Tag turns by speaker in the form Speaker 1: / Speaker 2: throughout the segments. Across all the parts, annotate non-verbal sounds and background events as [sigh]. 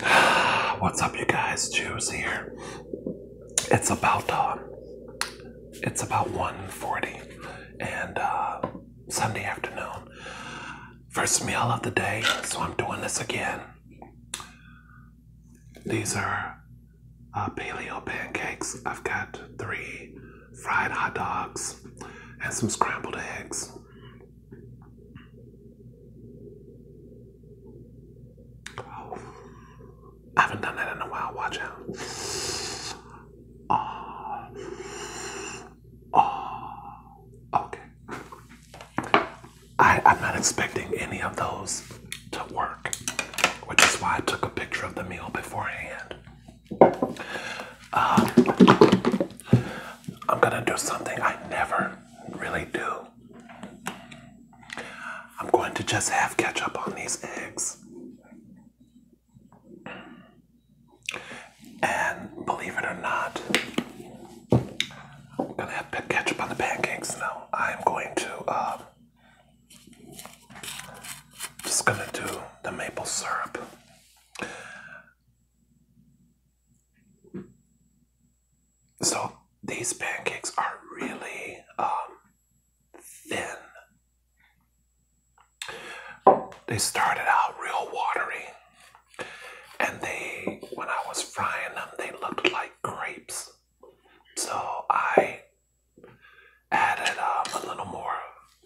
Speaker 1: [sighs] What's up, you guys? Juice here. It's about uh, it's about 1.40 and uh, Sunday afternoon. First meal of the day, so I'm doing this again. These are uh, paleo pancakes. I've got three fried hot dogs and some scrambled eggs. I haven't done that in a while. Watch out. Oh. Oh. Okay. I, I'm not expecting any of those to work, which is why I took a picture of the meal beforehand. Um, I'm gonna do something I never really do. I'm going to just have ketchup on these eggs. And believe it or not, I'm gonna have ketchup on the pancakes now. I'm going to, uh, just gonna do the maple syrup. So these pancakes are really um, thin. They started out real watery, and they, when I was frying them, they looked like grapes. So I added um, a little more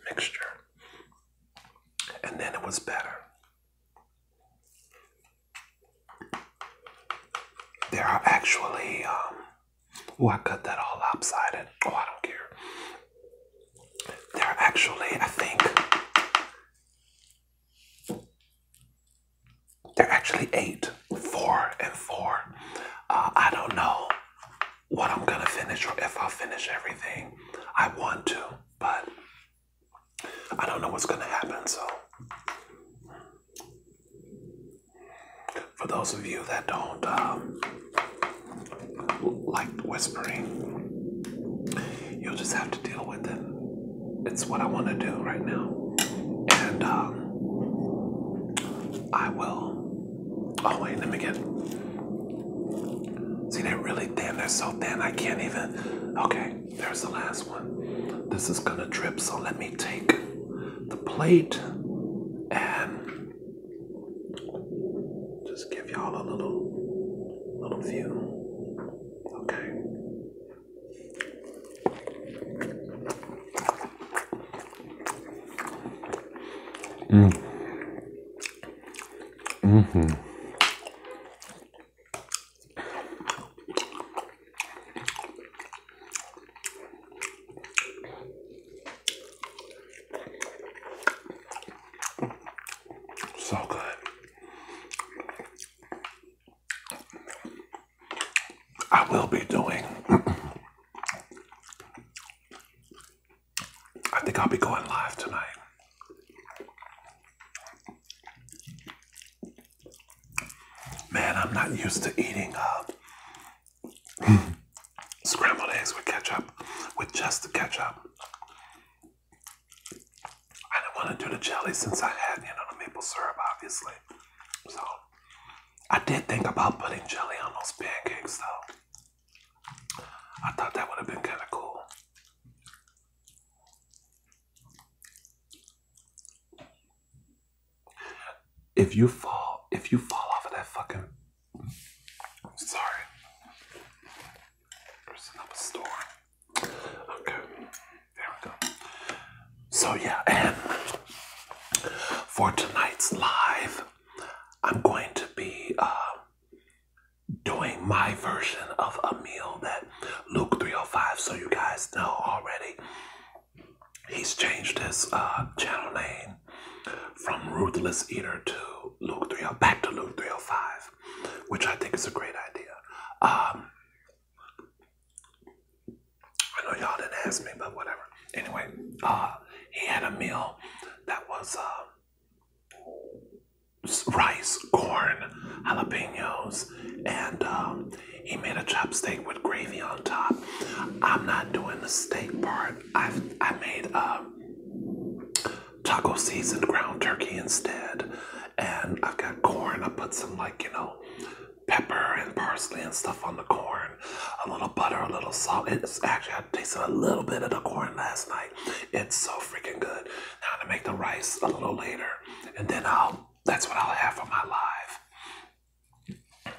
Speaker 1: mixture, and then it was better. There are actually, um, oh, I cut that all lopsided. Oh, I don't care. There are actually, I think, there are actually eight, four, and four. Uh, I don't know what I'm gonna finish or if I'll finish everything. I want to, but I don't know what's going to happen, so. For those of you that don't uh, like whispering, you'll just have to deal with it. It's what I want to do right now. And um, I will. Oh, wait, let me get. See, that? really thin. That's so thin, I can't even. Okay, there's the last one. This is gonna drip, so let me take the plate and just give y'all a little, little view. Okay. Mm. Mm-hmm. So good. I will be doing [clears throat] I think I'll be going live tonight. Man, I'm not used to eating uh, [laughs] scrambled eggs with ketchup, with just the ketchup. I didn't want to do the jelly since I had, it on the maple syrup, obviously. So, I did think about putting jelly on those pancakes, though. I thought that would have been kind of cool. If you fall, if you fall off of that fucking, I'm sorry, there's another storm. Okay, there we go. So yeah, and for tonight's live, I'm going to be uh, doing my version of a meal that Luke 305, so you guys know already. He's changed his uh, channel name from Ruthless Eater to Luke 30, back to Luke 305, which I think is a great idea. Um, I know y'all didn't ask me, but whatever. Anyway, uh, he had a meal that was uh, rice, corn, jalapenos, and um, he made a chop steak with gravy on top. I'm not doing the steak part. i I made uh, taco seasoned ground turkey instead, and I've got corn. I put some like you know pepper and parsley and stuff on the corn, a little butter, a little salt. It's actually I tasted a little bit of the corn last night it's so freaking good. I'm gonna make the rice a little later, and then I'll that's what I'll have for my live.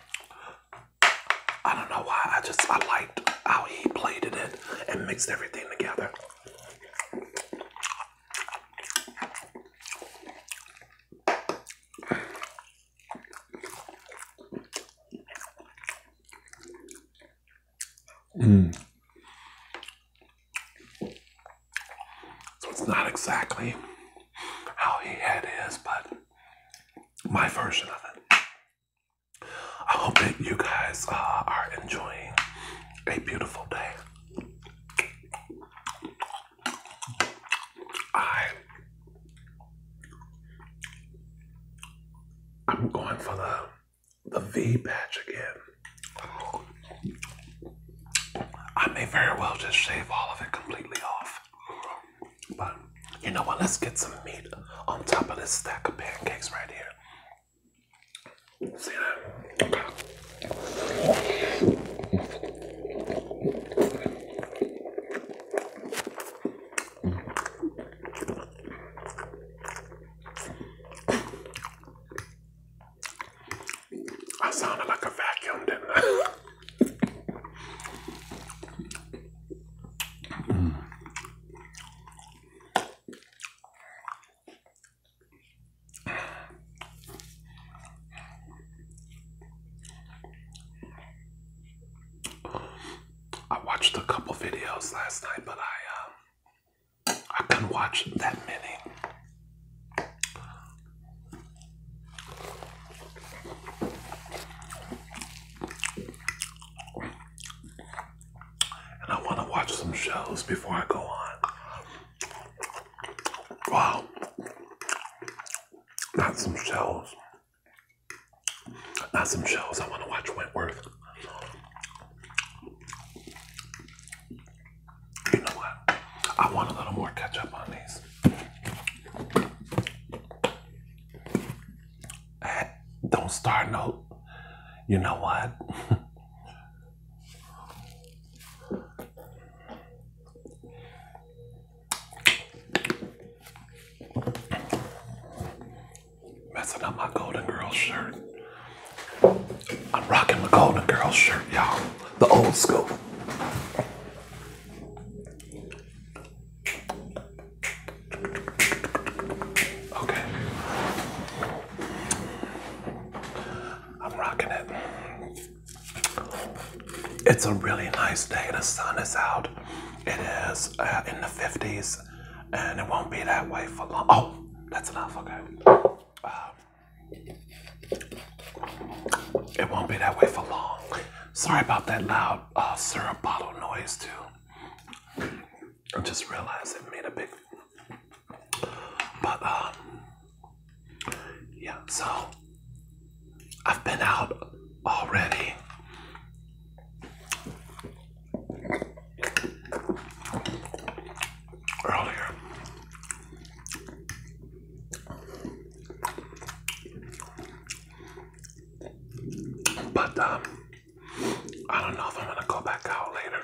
Speaker 1: I don't know why. I just I liked how he plated it and mixed everything together. Mm. So it's not exactly how he had his, but my version of it. I hope that you guys uh, are enjoying a beautiful day. I I'm going for the the V patch again. I may very well just shave all of it completely off. But you know what? Let's get some meat on top of this stack of pancakes right here. See that? I sounded like a vacuum, didn't I? I watched a couple videos last night, but I um, I couldn't watch that many. And I want to watch some shows before I go on. Wow. Not some shows. Not some shows I want to watch Wentworth. You know what? I want a little more ketchup on these. Don't start no. You know what? [laughs] Messing up my Golden Girls shirt. I'm rocking my Golden Girls shirt, y'all. The old school. Okay. I'm rocking it it's a really nice day. The sun is out. It is uh, in the 50s, and it won't be that way for long. Oh, that's enough. Okay. Uh, it won't be that way for long. Sorry about that loud uh, syrup bottle noise too. I just realized it made a big. But um, yeah. So I've been out already. Earlier, but um, I don't know if I'm gonna go back out later.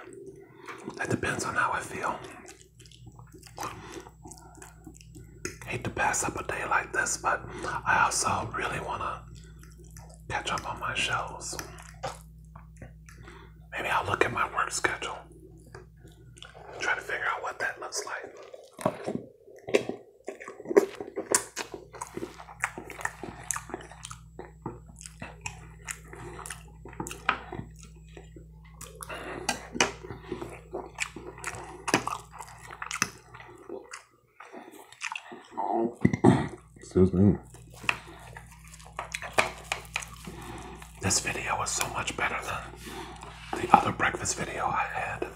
Speaker 1: That depends on how I feel hate to pass up a day like this, but I also really want to catch up on my shows. Maybe I'll look at my work schedule try to figure out what that looks like. Excuse me. This video is so much better than the other breakfast video I had.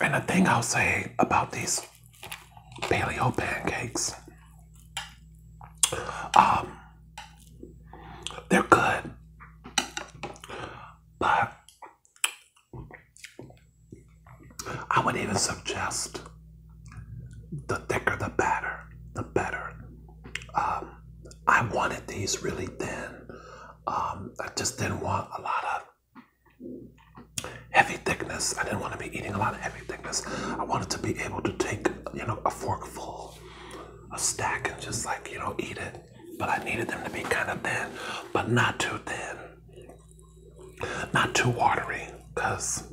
Speaker 1: And the thing I'll say about these paleo pancakes, um, they're good. But I would even suggest the thicker the batter, the better. Um, I wanted these really thin. Um, I just didn't want a lot of heavy thickness. I didn't want to be eating a lot of heavy thickness. I wanted to be able to take, you know, a forkful a stack and just like, you know, eat it. But I needed them to be kind of thin, but not too thin. Not too watery, because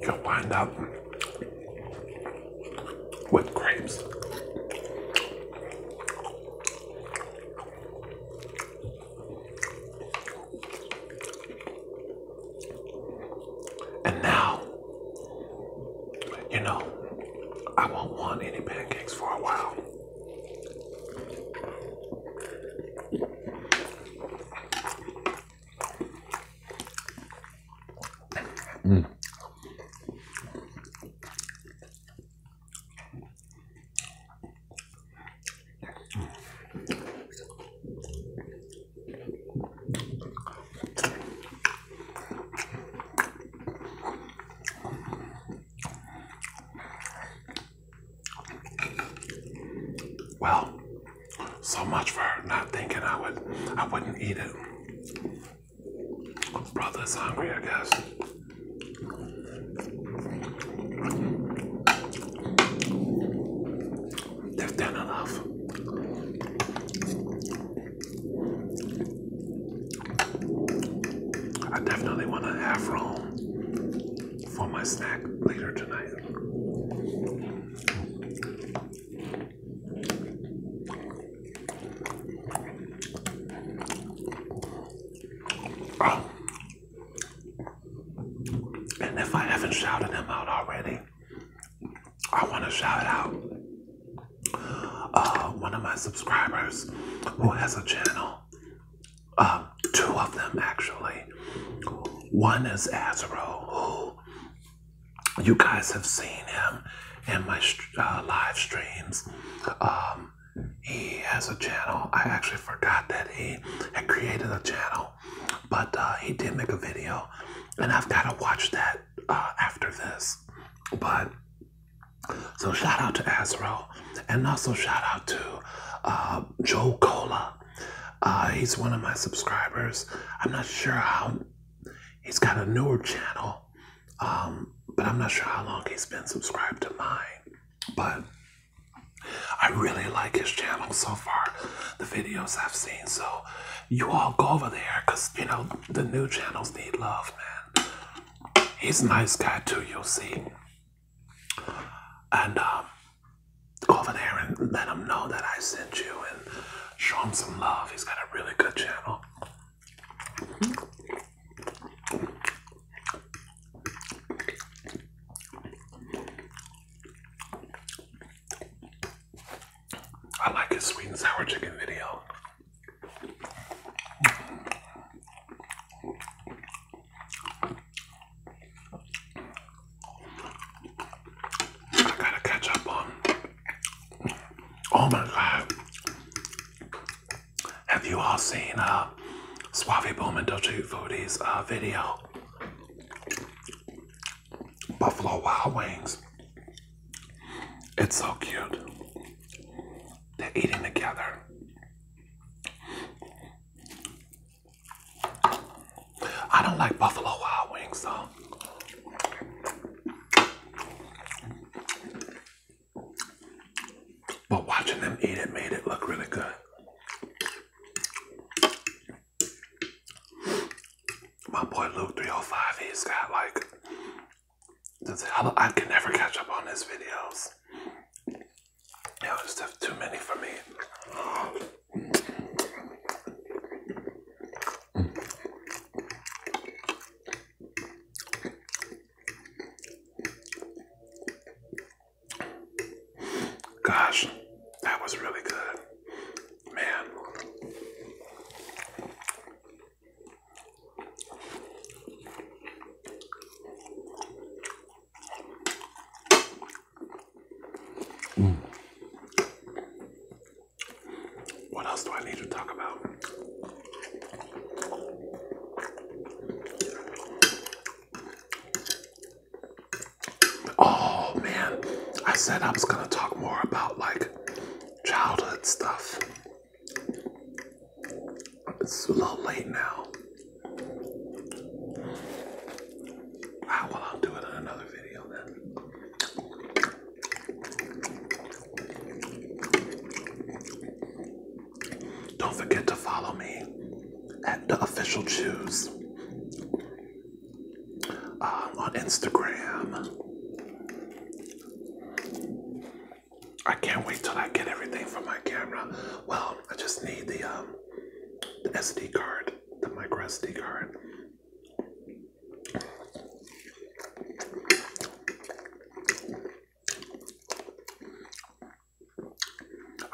Speaker 1: you'll wind up with grapes. And now, you know, I won't want any pancakes for a while. Mm. Well, so much for not thinking I would I wouldn't eat it. Brother's hungry, I guess. They've I definitely want to have room for my snack later tonight. Oh. And if I haven't shouted him out already, I want to shout out uh, one of my subscribers who has a channel. Um, two of them, actually. One is Azro, who you guys have seen him in my uh, live streams. Um, he has a channel. I actually forgot that he had created a channel, but uh, he did make a video, and I've got to watch that uh, after this. But so shout out to Azro, and also shout out to uh, Joe Cola. he's one of my subscribers. I'm not sure how he's got a newer channel, um, but I'm not sure how long he's been subscribed to mine. But I really like his channel so far, the videos I've seen. So you all go over there because, you know, the new channels need love, man. He's a nice guy too, you'll see. And um, go over there and let him know that I sent you and show him some love. He's got a really good channel. I like his sweet and sour chicken video. I gotta catch up on. Oh my god. Have you all seen uh, Suave Boom and Doja uh, video? Buffalo Wild Wings. It's so cute. They're eating together. I don't like Buffalo Wild Wings though. But watching them eat it made it look really good. My boy Luke 305, he's got like I can never catch up on his videos. You know, it's too many for me. Gosh, that was really good. Man. Mm. What else do I need to talk about? Oh man, I said I was gonna talk more about like childhood stuff. It's a little late now. Ah, well, I'll do it in another video then. Don't forget to follow me at the official choose um, on Instagram. I can't wait till I get everything from my camera. Well, I just need the um, the SD card, the micro SD card.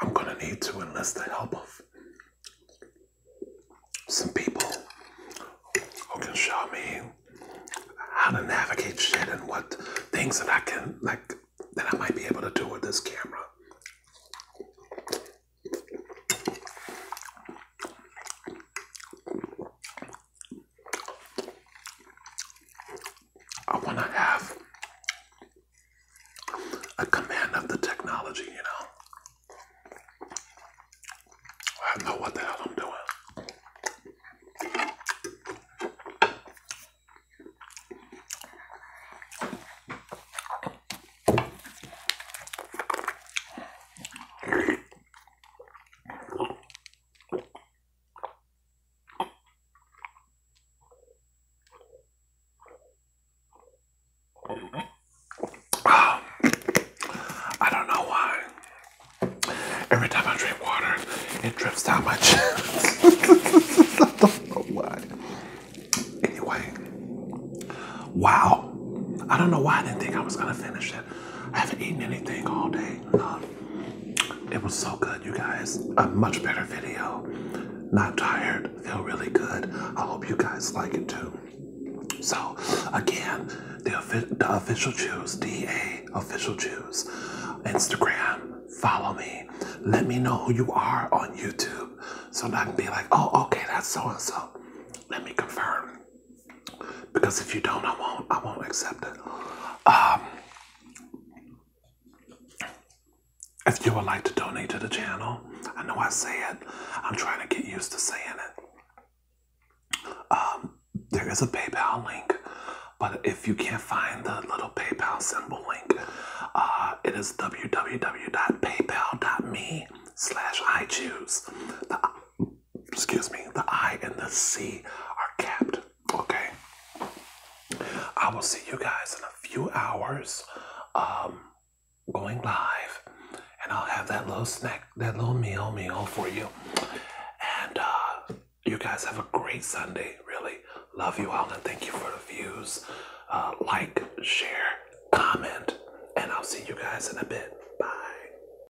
Speaker 1: I'm gonna need to enlist the help of some people who can show me how to navigate shit and what things that I can like that I might be able to do with this camera. I want to have a command of the technology, you know. I know what the hell I'm doing. I don't know why. Every time I drink water, it drips down my chin. [laughs] don't know why. Anyway, wow. I don't know why I didn't think I was gonna finish it. I haven't eaten anything all day. Um, it was so good, you guys. A much better video. Not tired. Feel really good. I hope you guys like it too. So, again, the, the official Jews, DA official choose. Instagram, follow me. Let me know who you are on YouTube so I can be like, oh, okay, that's so and so. Let me confirm. Because if you don't, I won't. I won't accept it. Um, if you would like to donate to the channel, I know I say it. I'm trying to get used to saying it. Um, there is a PayPal link, but if you can't find the little PayPal symbol link, uh, it is www.paypal.me slash I choose excuse me, the I and the C are capped. Okay. I will see you guys in a few hours um, going live, and I'll have that little snack, that little meal, meal for you. And uh, you guys have a great Sunday. Really love you all, and thank you for the views. Uh, like, share, comment, and I'll see you guys in a bit. Bye.